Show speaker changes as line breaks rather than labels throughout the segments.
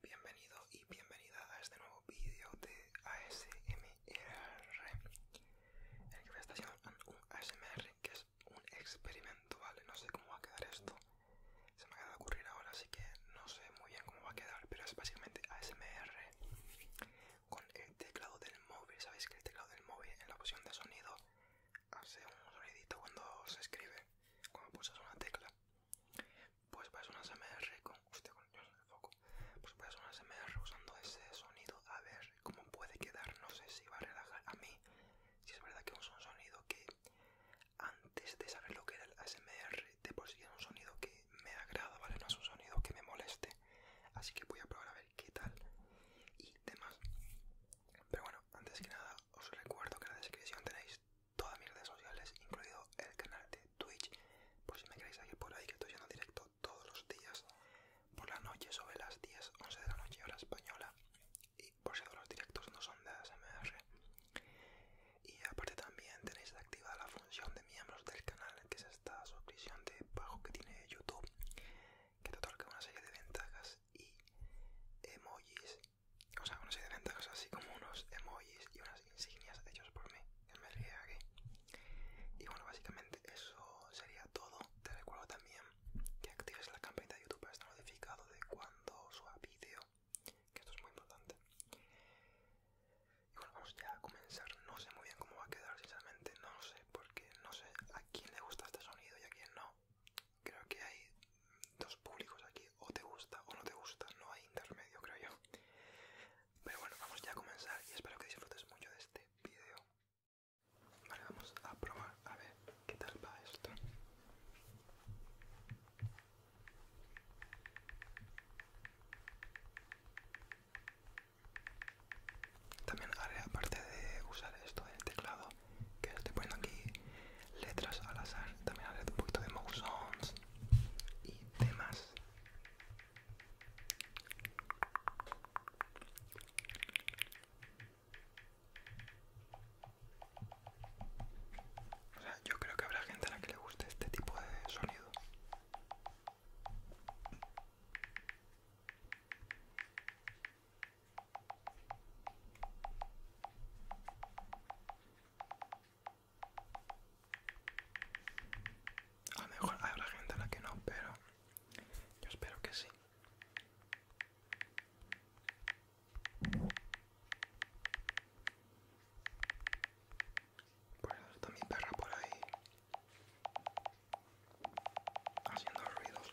Bienvenido y bienvenida a este nuevo vídeo de ASMR en el que voy a estar un ASMR que es un experimento, ¿vale? No sé cómo va a quedar esto. Se me acaba de ocurrir ahora, así que no sé muy bien cómo va a quedar, pero es básicamente ASMR con el teclado del móvil. Sabéis que el teclado del móvil en la opción de sonido hace un sonidito cuando se escribe, cuando pulsas una tecla. Pues vas a un ASMR con. usted con Dios en el foco. Pues a ser un ASMR usando ese sonido, a ver cómo puede quedar. No sé si va a relajar a mí. Si es verdad que es un sonido que antes de saber lo que era el ASMR, de por si es un sonido que me agrada, ¿vale? No es un sonido que me moleste. Así que voy a probar a ver qué tal y demás. Pero bueno, antes que nada, os recuerdo que en la descripción tenéis todas mis redes sociales, incluido el canal de Twitch, por si me queréis seguir por ahí, que estoy yendo directo todos los días, por la noche, sobre las 10, 11 de la noche, hora española y por cierto, los directos no son de ASMR y aparte también tenéis activada la función de miembros del canal que es esta suscripción de pago que tiene YouTube que te otorga una serie de ventajas y emojis o sea una serie de ventajas así como unos emojis y unas insignias hechos por mí en aquí. y bueno básicamente eso sería todo te recuerdo también que actives la campanita de YouTube para estar notificado de cuando su vídeo, que esto es muy importante. Y bueno, vamos ya a comenzar. No sé muy bien cómo va a quedar, sinceramente, no lo sé, porque no sé a quién le gusta este sonido y a quién no. Creo que hay dos públicos aquí, o te gusta o no te gusta, no hay intermedio, creo yo. Pero bueno, vamos ya a comenzar y espero que disfrutes mucho de este vídeo. Vale, vamos a probar, a ver. ¿Qué tal va esto? También haré, aparte de usar esto del teclado, que estoy poniendo aquí letras al azar, también haré un poquito de moussons y demás yo creo que habrá gente a la que le guste este tipo de sonido. A lo mejor habrá gente a la que no, pero yo espero que sí. Por eso está mi perra por ahí haciendo ruidos.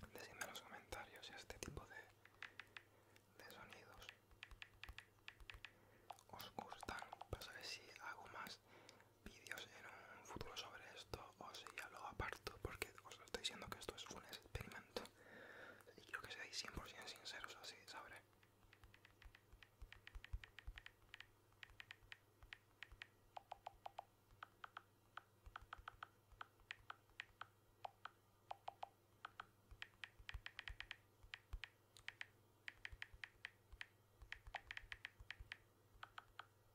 Decidme en los comentarios si este tipo de, de sonidos os gustan para saber si hago más vídeos en un futuro sobre esto o si ya lo aparto porque os lo estoy diciendo que esto es un experimento y quiero que seáis 100% sinceros así sabré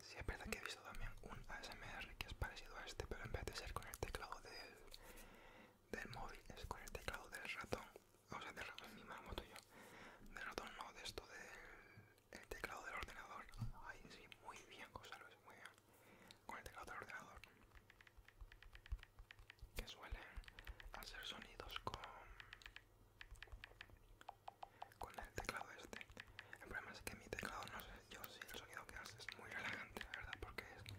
Si es verdad que he visto también un ASMR que es parecido a este, pero en vez de ser con el teclado del móvil, es con el teclado del ratón o sea, de ratón, mi o tuyo. de ratón no, de esto del teclado del ordenador, ahí sí, muy bien, lo muy bien, con el teclado del ordenador, que suelen hacer sonidos con, con el teclado este, el problema es que mi teclado, no sé, yo sí, el sonido que hace es muy relajante, la verdad, porque es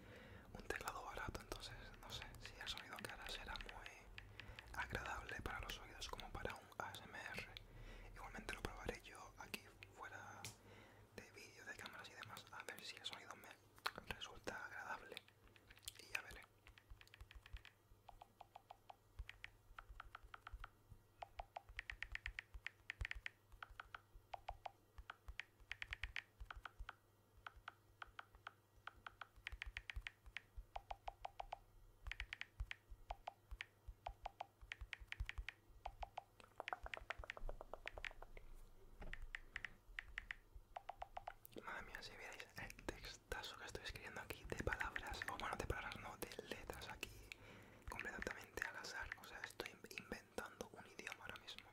un teclado barato, entonces, no sé, si el sonido que hará será muy agradable para los oídos como para un ASMR. Igualmente lo probaré yo aquí fuera de vídeo, de cámaras y demás, a ver si el sonido me resulta agradable. Y ya veré. Madre mía, si veis el textazo que estoy escribiendo aquí de palabras, o bueno, de palabras no, de letras aquí, completamente al azar, o sea, estoy inventando un idioma ahora mismo.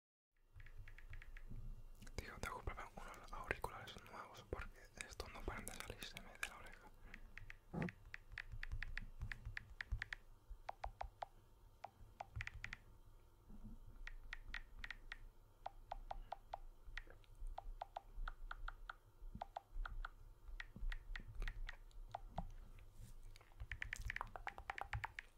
Digo, tengo que comprar unos auriculares nuevos porque estos no paran de salirse de la oreja.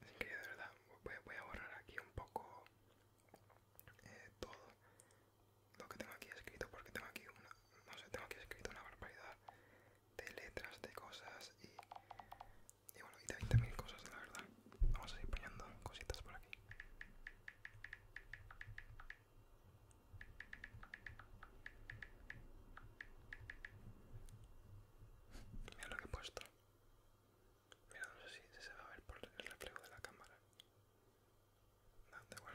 Así que de verdad voy, a borrar aquí un poco eh, todo lo que tengo aquí escrito porque tengo aquí una, no sé, tengo aquí escrito una barbaridad de letras, de cosas y, bueno, y 20.000 cosas, la verdad. Vamos a ir poniendo cositas por aquí. Mira lo que he puesto. Mira, no sé si se va a ver por el reflejo de la cámara. No, igual.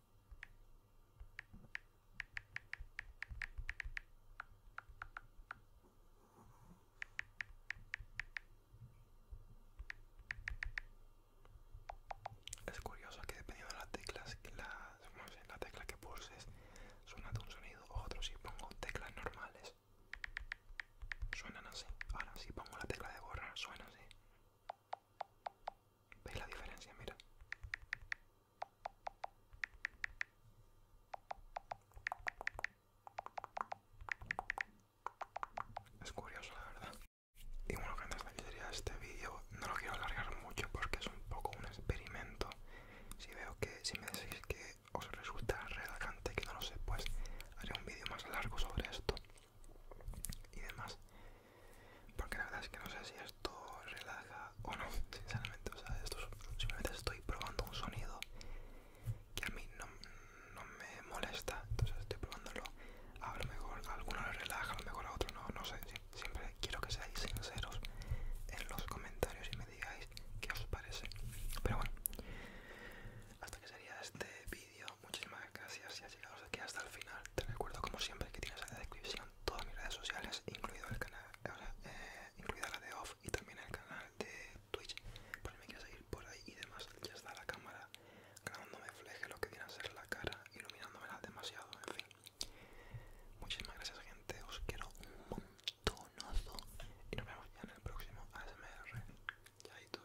Es curioso que dependiendo de las teclas, la, tecla que pulses suena de un sonido u otro. Si pongo teclas normales, suenan así. Ahora si pongo la tecla de borrar, suena así. ¿Veis la diferencia? Mira. Es curioso, la verdad. Y bueno, que hasta este vídeo. No lo quiero alargar mucho porque es un poco un experimento. Si veo que, si me decís que os resulta relajante, que no lo sé, pues haré un vídeo más largo sobre esto y demás. Porque la verdad es que no sé si esto relaja o no, sinceramente. O sea, esto simplemente estoy probando un sonido que a mí no, me molesta. Entonces estoy probándolo. A lo mejor a alguno lo relaja, a lo mejor a otro no, no sé. Siempre quiero que seáis sinceros en los comentarios y me digáis qué os parece. Pero bueno, hasta que sería este vídeo. Muchísimas gracias y has llegado aquí hasta el final. Te recuerdo como siempre que tienes la descripción todas mis redes sociales, incluido el canal, eh, incluida la de Off y también el canal de Twitch, por si me quieres seguir por ahí y demás. Ya está la cámara grabándome fleje lo que viene a ser la cara, iluminándomela demasiado, en fin. Muchísimas gracias gente, os quiero un montonazo y nos vemos ya en el próximo ASMR. Chaito.